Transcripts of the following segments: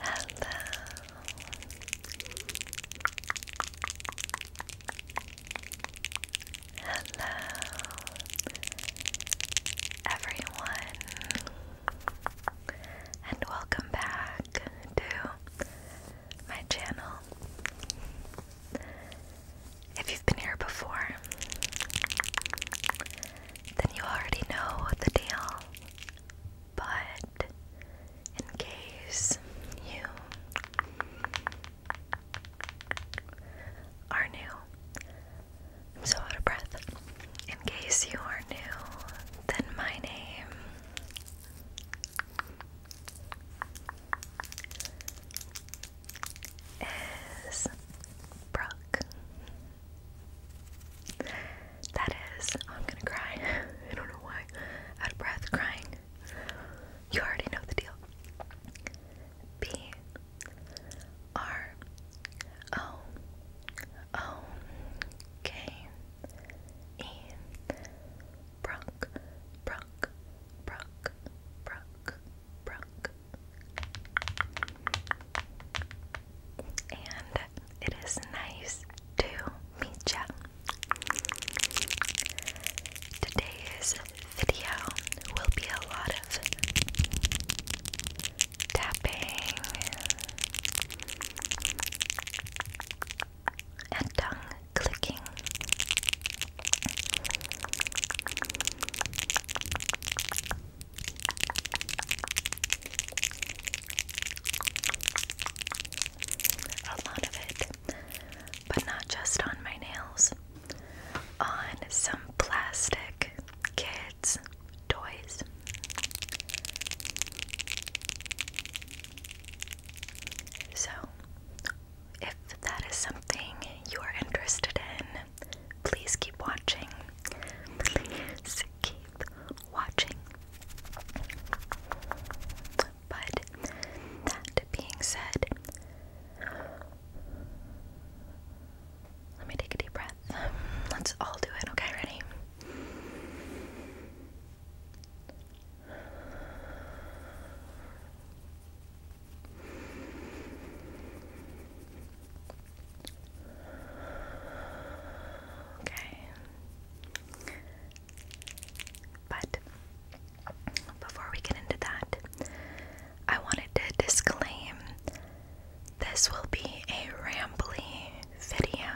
Hello. Hello. Everyone. And welcome back to my channel. If you've been here before, then you already know the deal. But in case you are new, I'm so out of breath. In case you are new, then my name is Brooke. That is, I'm gonna cry. I don't know why. Out of breath, crying. You already know the deal. B R O O K E Brock, Brock, Brock, Brock, Brock and it is nice to meet you. Today's video will be a lot of tapping and tongue clicking. A lot of it, but not just on my nails, on some plastic kids' toys. So, if that is something you are interested in, please keep watching. Please keep watching. But that being said, let me take a deep breath. Let's all do it. Okay, ready? Okay. But before we get into that, I wanted to disclaim this will be a rambly video.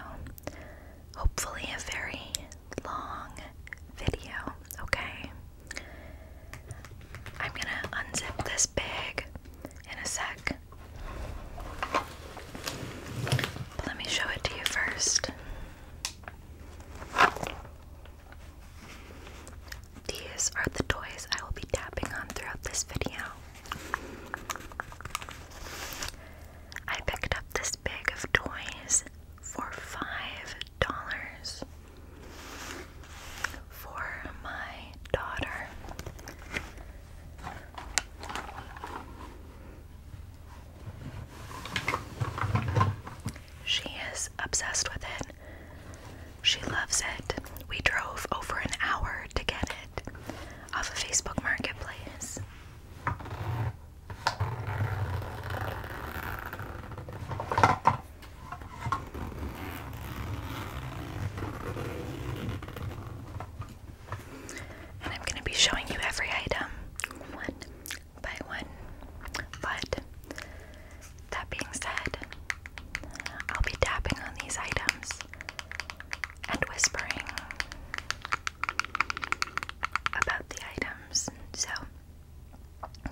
Hopefully, a very long video, okay? I'm gonna unzip this bag in a sec let me show it to you first. These are the toys I will be tapping on throughout this video. I picked up this bag of toys for $5 for my daughter. She is obsessed with it. She loves it. We drove over an hour to get it off a Facebook Marketplace. And I'm going to be showing you every item one by one. But that being said, I'll be tapping on these items and whispering about the items. So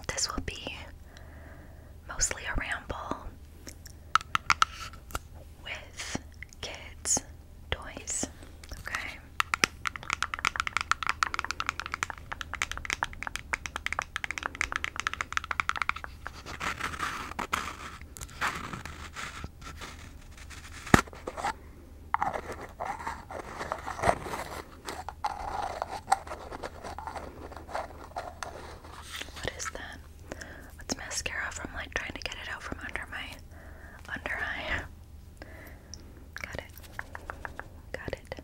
this will be mostly a ramble with kids' toys. Okay. What is that? What's mascara from like trying to get it out from under my under eye? Got it. Got it.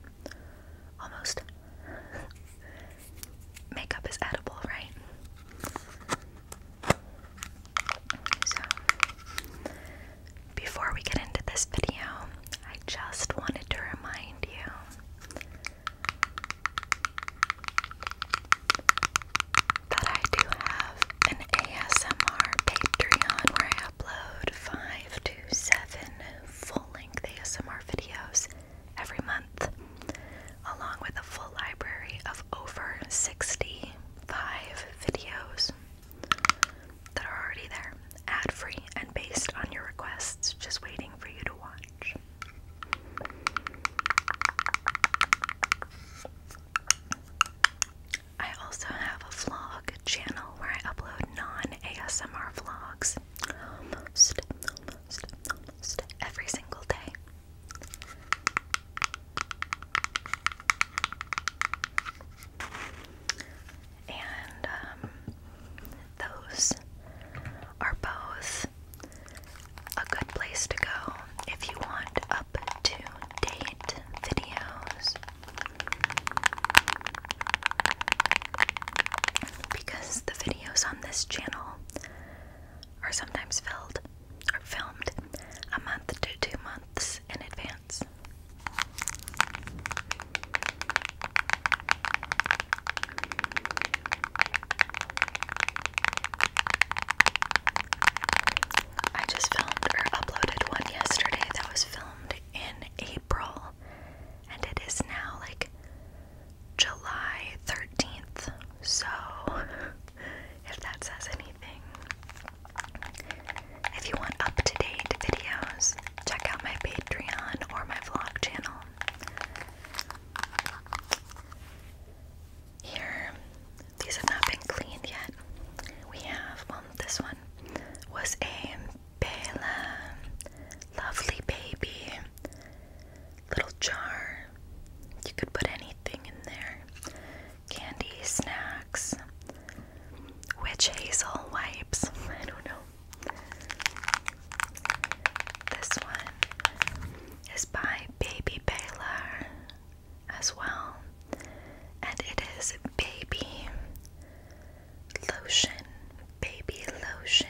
Almost. Makeup is edible, right? So, before we get into this video, I just wanted to remind you but I do have an ASMR Patreon where I upload five to seven full length ASMR videos every month, along with a full library of over 65 videos that are already there, ad free and based on your requests, just waiting for you to watch. I also have a vlog channel where I upload non-ASMR vlogs almost, every single day. And um, those are both a good place to go if you want up to date videos because the videos on this channel are sometimes filmed a month to two months in advance. I just filmed or uploaded one yesterday that was filmed in April, and it is now like July 13th. So, if that says anything, if you want up to date videos, check out my Patreon or my vlog channel. Here, these have not been cleaned yet. We have, well, um, this one was a Bela Lovely Baby little jar. You could put anything in there candy, snacks, witch hazel wipes. I don't know. This one is by Baby Baylor as well, and it is Baby Lotion. Baby Lotion.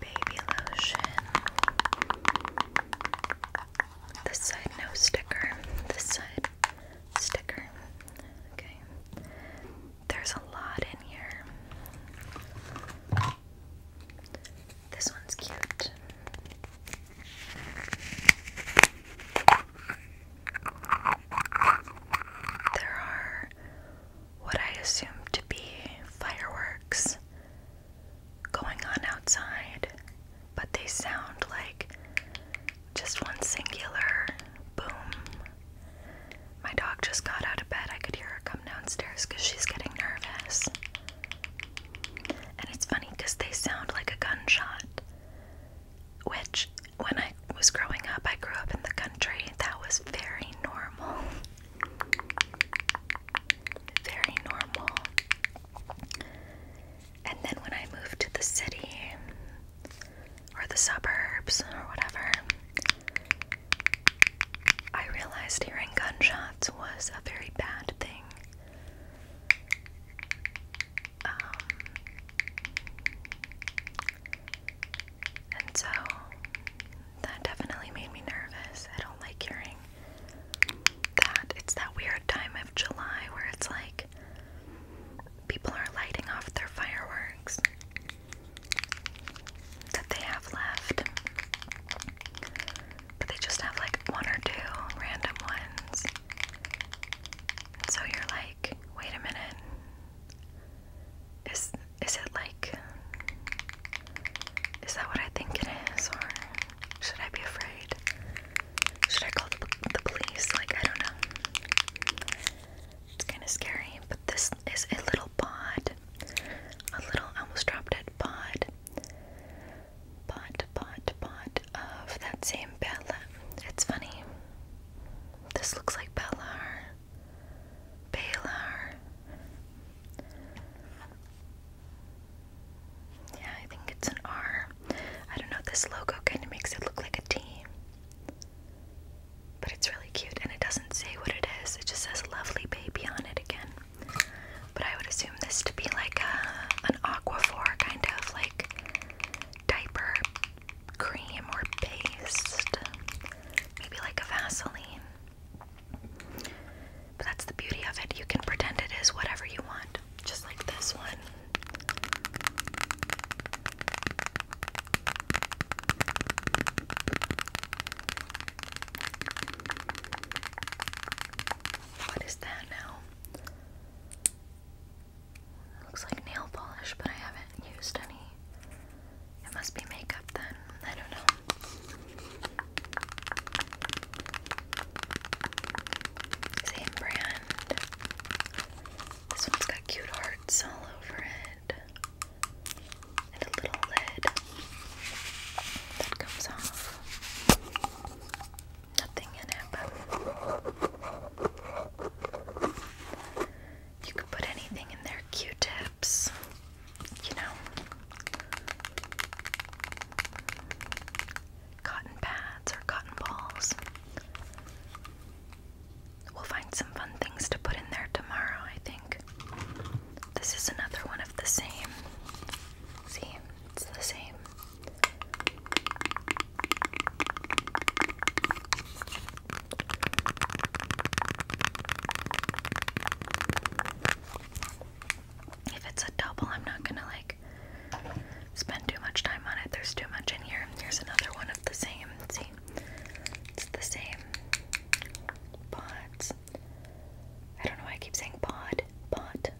Baby lotion. This side, no sticker. This side, sticker. Okay. There's a lot in here. This one's cute. There are what I assume to be fireworks going on outside, but they sound like just one singular boom. My dog just got out of bed. I could hear her come downstairs because she's getting nervous. And it's funny because they sound like a gunshot, which, when I was growing up, I grew up in the country, that was very normal. Very normal. And then when I moved to the city or the suburbs or whatever, I realized hearing gunshots was a very bad thing. Um, and so that definitely made me nervous. I don't like hearing that. It's that weird time of July where it's like people are lighting off their fireworks that they have left. But they just have like one or two random ones. So you're like, wait a minute. Is is it like is that what I think it is or should I be afraid? Should I call the, police? Like I don't know. It's kind of scary, but this is a little pod. A little almost dropped it pod pot, pot, pot of that same Bella. It's funny. This looks like Bellar. Balar. Yeah, I think it's an R. I don't know, this logo kind of makes it look like a T. But it's really cute and it doesn't say what it is, it just says lovely baby on it again. But I would assume this to be like a, an aquaphor kind of like diaper cream or paste. Maybe like a Vaseline. But that's the beauty of it. You can pretend it is whatever you want, just like this one. What is that now? Looks like nail polish, but I haven't used any. It must be makeup then. I don't know. Same brand. This one's got cute hearts all over it. And a little lid that comes off nothing in it, but you could put anything in there, Q-tips, you know, cotton pads or cotton balls. We'll find some fun things to put in there tomorrow, I think. This is another one of the same. See, it's the same. If it's a double, I'm not gonna like spend too much time on it. There's too much in here. Here's another one of the same. See, it's the same pods. I don't know I keep saying pod pot,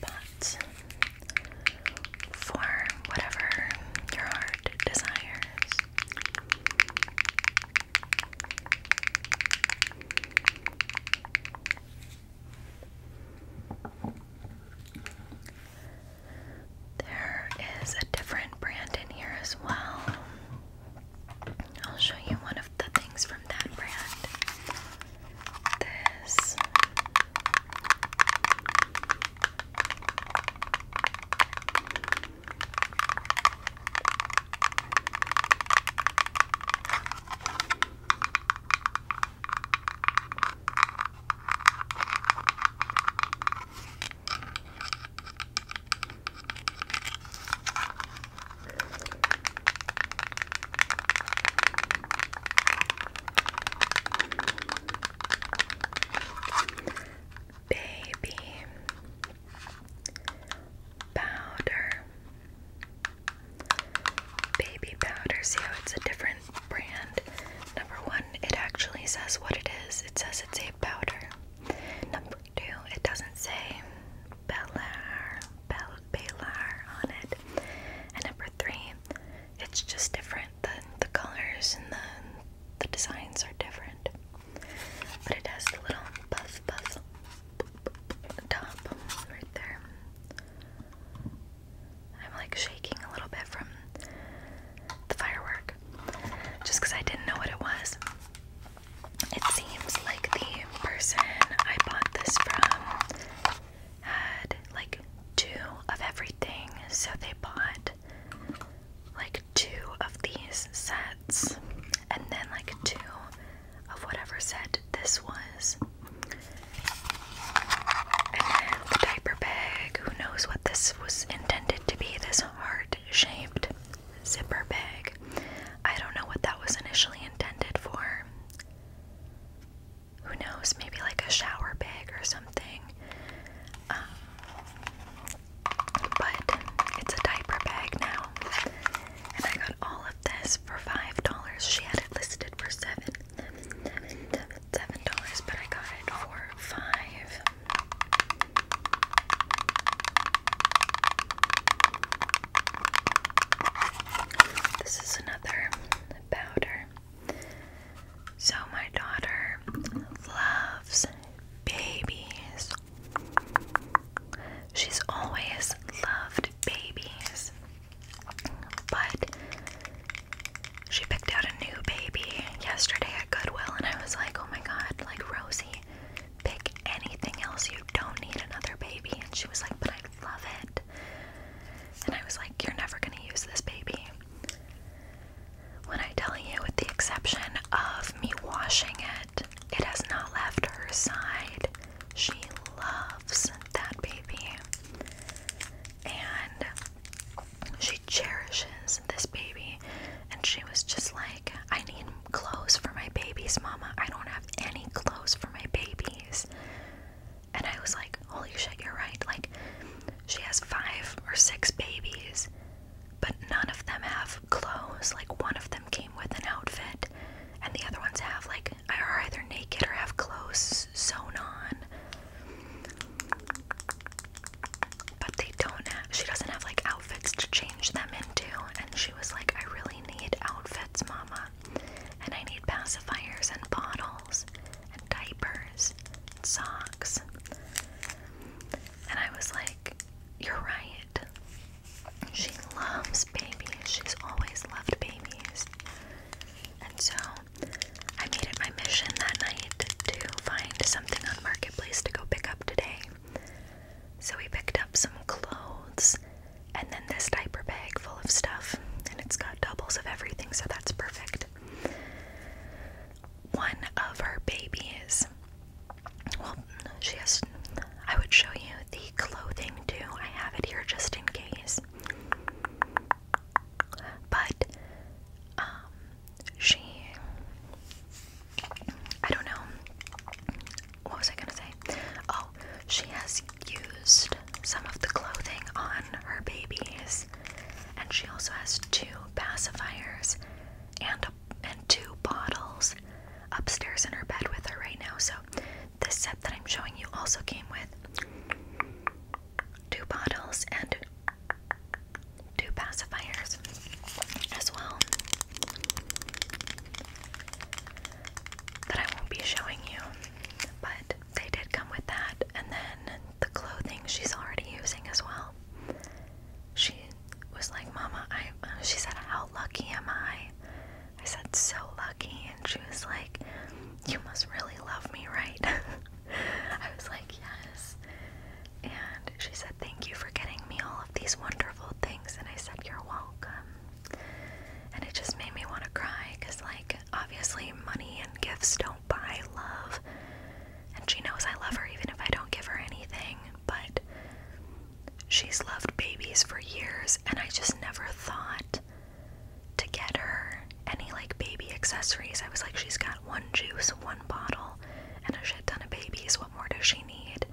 pot for whatever your heart desires. There is a different brand in here as well. I'll show you one of the things from that brand. This. Baby powder. Baby powder. See how it's a different brand? Number one, it actually says what it is. It says it's a powder. Number two, it doesn't say Bellar, Bel Bellar on it. And number three, it's just different. The the colors and the the designs are different. But it has the little puff puff top right there. I'm like shaking a little bit from the firework just because I didn't know what it was. It seems like the person I bought this from had like two of everything, so they bought like two of these sets and then like two of whatever set this was. And then the diaper bag, who knows what this was intended to be, this heart shaped zipper bag. I don't know what that was initially intended for. Who knows? Maybe like a shower bag or something. Um, but it's a diaper bag now. And I got all of this for $5. She had it listed for seven. Seven dollars, but I got it for five. This is another powder. So, my daughter loves babies. She's always loved babies, but she picked out a new baby yesterday at Goodwill, and I was like, oh my god, like Rosie pick anything else. You don't need another baby. And she was like, But I love it. And I was like, You're never going to use this baby. When I tell you, with the exception of me washing it, it has not left her side. She loves that baby. And she cherishes this baby. And she was just like, I need clothes for my babies, Mama. I don't have any clothes for my babies. And I was like, Holy shit, you're right. Like, she has five or six babies, but none of them have clothes. Like, one of them came with an outfit, and the other ones have, like, are either naked or have clothes sewn on. But they don't have, she doesn't have, like, outfits to change them into, and she was like, I really need outfits, Mama. And I need pacifiers and bottles and diapers and socks. And I was like, You're right. She loves babies. She's always loved babies. And so I made it my mission that night to find something on Marketplace to go pick up today. So we picked up some clothes and then this diaper bag full of stuff, and it's got doubles of everything, so that's perfect. One of our babies, well, she has, I would show you the clothing too. I have it here just in case. But um, she I don't know. What was I gonna say? Oh, she has used some of the clothing on her babies, and she also has two pacifiers and and two bottles upstairs in her bed with her right now. So this set that I'm showing you also came with two bottles and two pacifiers as well that I won't be showing you, but they did come with that. And then the clothing she's already using as well. She was like, Mama, I, uh, she said, How lucky am I? I said, So lucky. And she was like, You must really love me, right? I was like, Yes. And she said, Thank you for getting me all of these wonderful things. And I said, You're welcome and it just made me want to cry because, like, obviously, money and gifts don't buy love. And she knows I love her even if I don't give her anything, but she's loved babies for years, and I just never thought to get her any like baby accessories. I was like, she's got one juice, one bottle, and a shit ton of babies. What more does she need?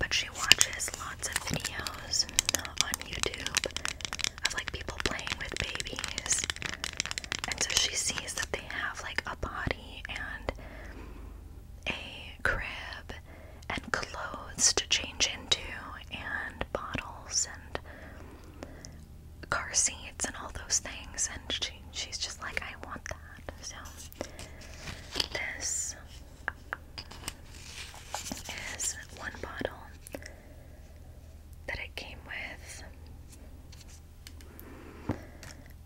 But she watches lots of videos on YouTube of like people playing with babies. And so she sees that they have like a body and a crib and clothes to change into and bottles and car seats and all those things and she she's just like I want so this is one bottle that it came with,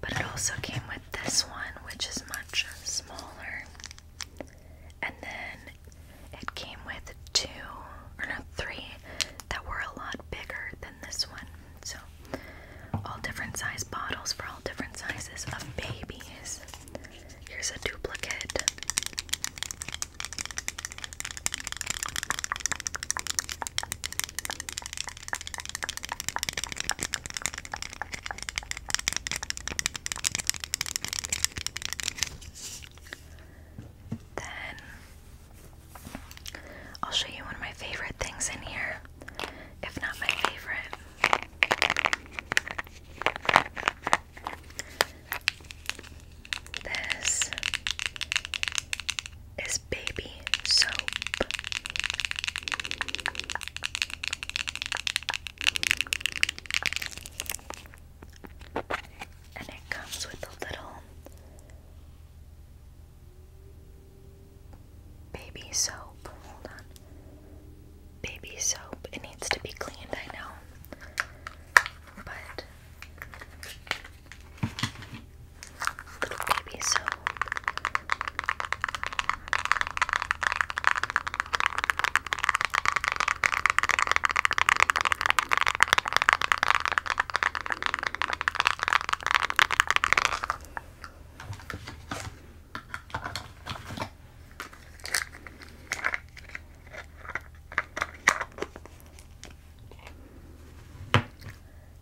but it also came with this one, which is much smaller. And then it came with two or not three that were a lot bigger than this one. So all different size bottles for all different sizes of babies. Here's a duplicate. Then I'll show you one of my favorite things in here, if not my favorite. This is baby soap. And it comes with a little Baby soap. Hold on. Baby soap. It needs to be cleaned, I know. But. Little baby soap.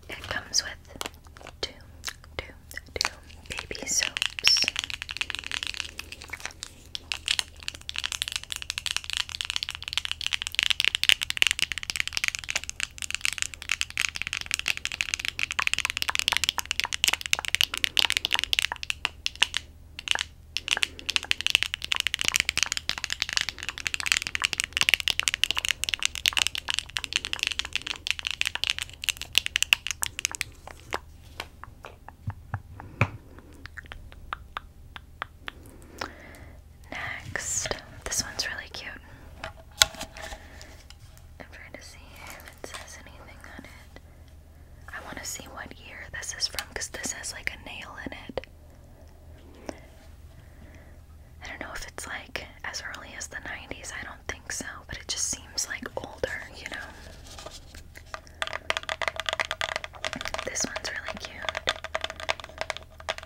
It comes with two, two, two baby soaps. Next, this one's really cute. I'm trying to see if it says anything on it. I want to see what year this is from because this has like a nail in it. I don't know if it's like as early as the 90s, I don't think so, but it just seems like older, you know? This one's really cute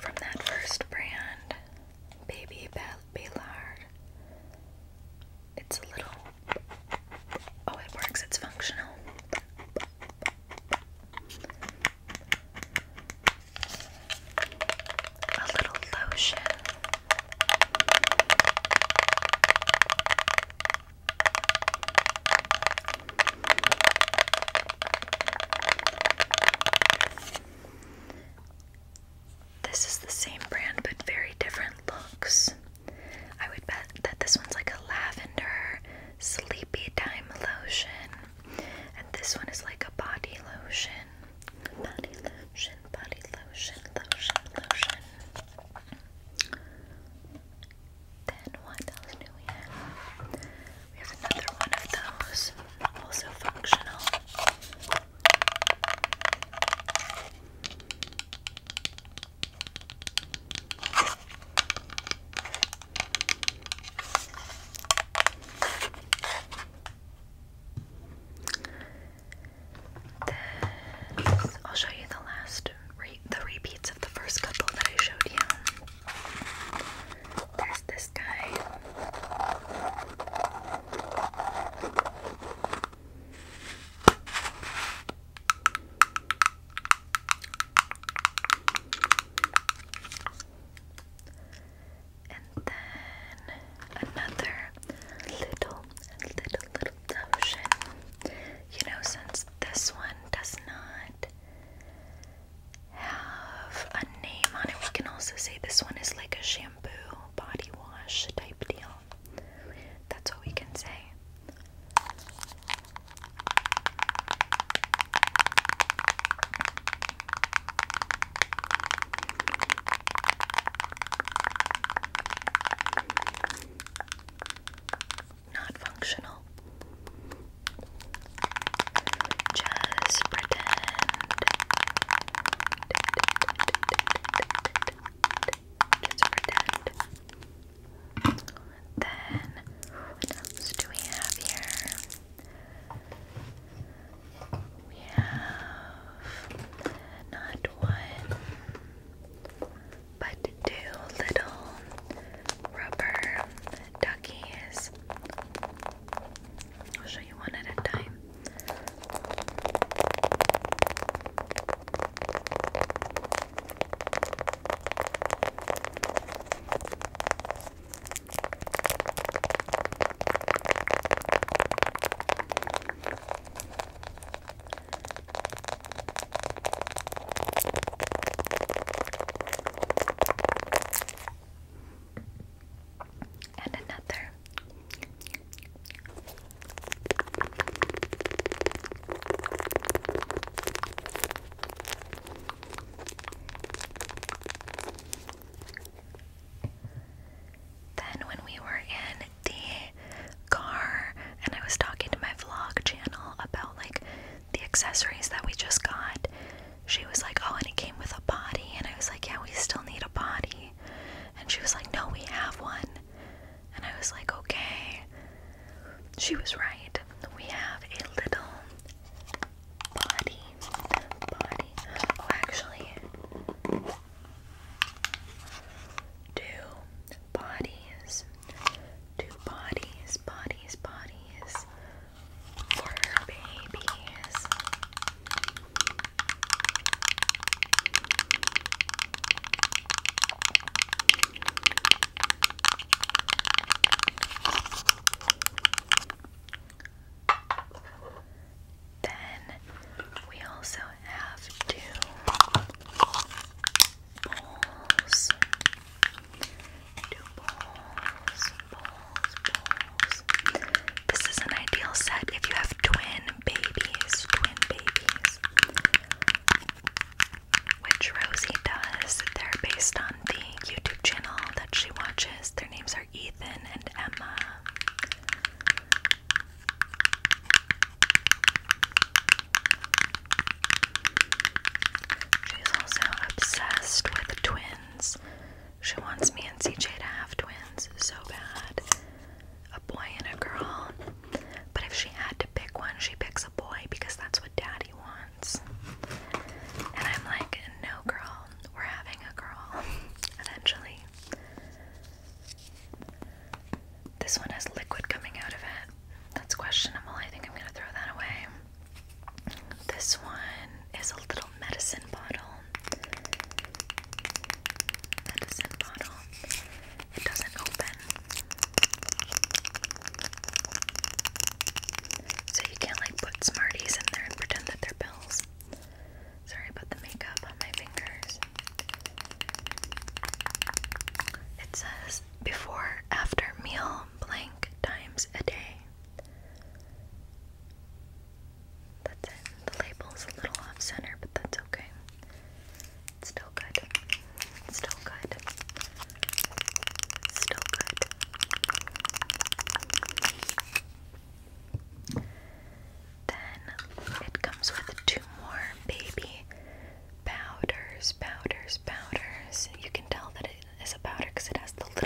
from that first brand baby Ballard. It's a little. Oh, it works, it's functional. A little lotion. This is the same brand but very different looks. I would bet that this one's like a lavender sleepy time lotion, and this one is like a body lotion. Body lotion, body lotion, lotion, lotion. Then what else do we have? We have another one of those, also functional. I'll show you the last the repeats of the first couple that I showed you. There's this guy. And then another little, little, little notion. You know, since this one does not have a name on it, we can also say this one is like a shampoo body wash type deal. That's what we can say. Not functional. Just pretend just pretend. Then, what else do we have here? We have not one, but two little rubber duckies. I'll show you one at a time and another. Then, when we were in the car, and I was talking to my vlog channel about like the accessories that we just got, she was like, Oh, and it came with a body. And I was like, Yeah, we still need a body. And she was like, No, we have one. And I was like, Okay. She was right. We have a little body. Body. Oh, actually, two bodies. Two bodies, bodies, bodies for babies. Then we also have two bowls. Two bowls. This is an ideal set if you have twin babies, twin babies. Which Rosie does. They're based on the YouTube channel that she watches. Their names are Ethan and Emma. She's also obsessed with twins. She wants me and CJ to have twins so bad. A boy and a girl. But if she had to pick one, she picks a boy because that's what daddy wants. And I'm like, no, girl, we're having a girl eventually. This one has liquid coming out of it. That's questionable. I think I'm going to throw that away. This one is a little medicine bottle. Medicine bottle. It doesn't open. So you can't like put Smarties in there and pretend that they're pills. Sorry about the makeup on my fingers. It says before after meal blank times a day. That's it. The label's a little off center, but that's okay. It's still good. It's still good. still good. Then it comes with two more baby powders, powders, powders. You can tell that it is a powder because it has the little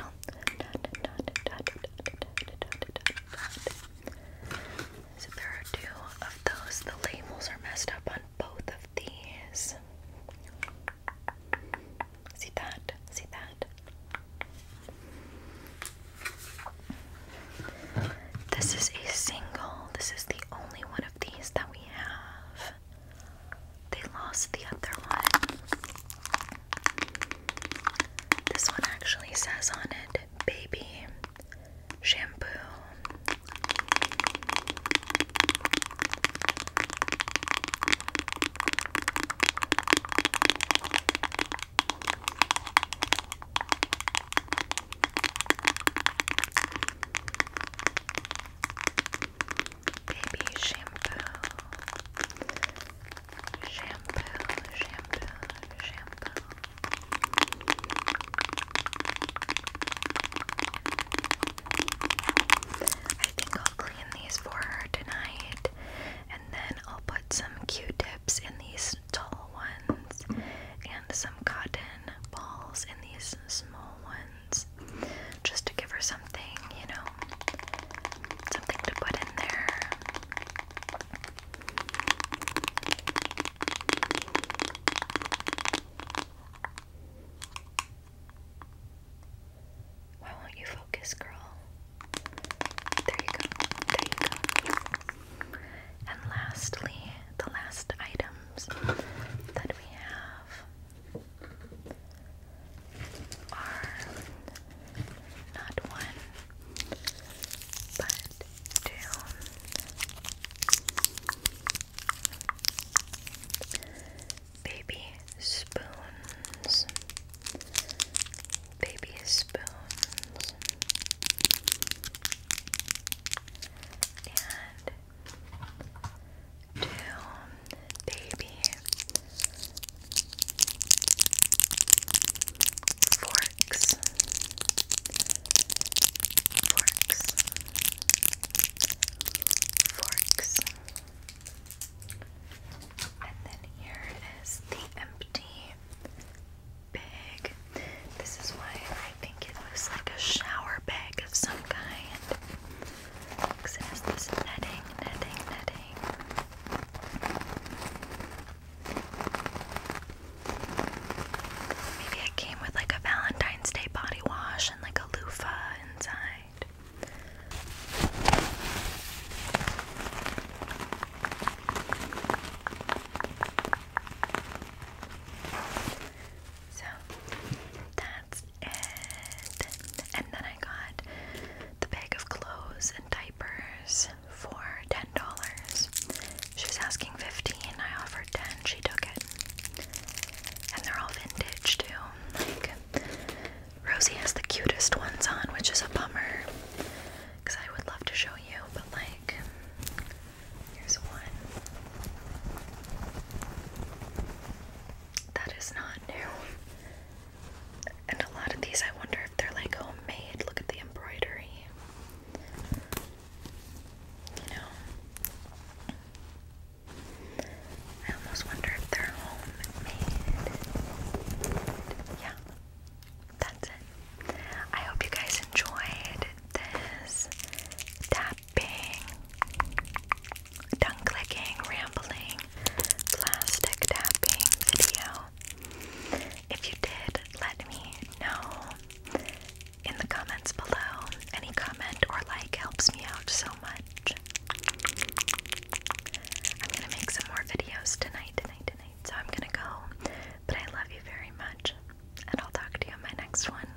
so there are two of those. The labels are messed up on both of these. See that? See that? This is a single. This is the only one of these that we have. They lost the other one. This one actually says on it baby shampoo. Baby shampoo shampoo, shampoo, shampoo. I think I'll clean these for her tonight, and then I'll put some Q-tips in these tall ones, and some cotton balls in these small ones, just to give her something, you know, something to put in there. Why won't you focus, girl? There you go. There you go. And lastly, the last items that we have are not one, but two. Baby spoons, baby spoons, and two baby. Forks. Forks. Forks. And then here is the empty bag. This is why I think it was like a shower bag of some kind. Because netting, netting, netting. Maybe it came with like a Valentine's Day body wash and like a loofah inside. So that's it. And then I got the bag of clothes and diapers for $10. She was asking 15 I offered 10 she took it. And they're all vintage too. Like, Rosie has the cutest ones on, which is a bummer. Because I would love to show you, but like, here's one. That is not new. And a lot of these, I wonder if they're like homemade. Look at the embroidery. You know, I almost wonder if they're homemade. Yeah, that's it. I hope you guys enjoyed this tapping tongue clicking, rambling, plastic tapping video. If you did, let me know in the comments below. Any comment or like helps me out so much. I'm gonna make some more videos tonight, tonight, tonight, so I'm gonna go. But I love you very much, and I'll talk to you in my next one.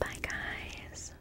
Bye, guys.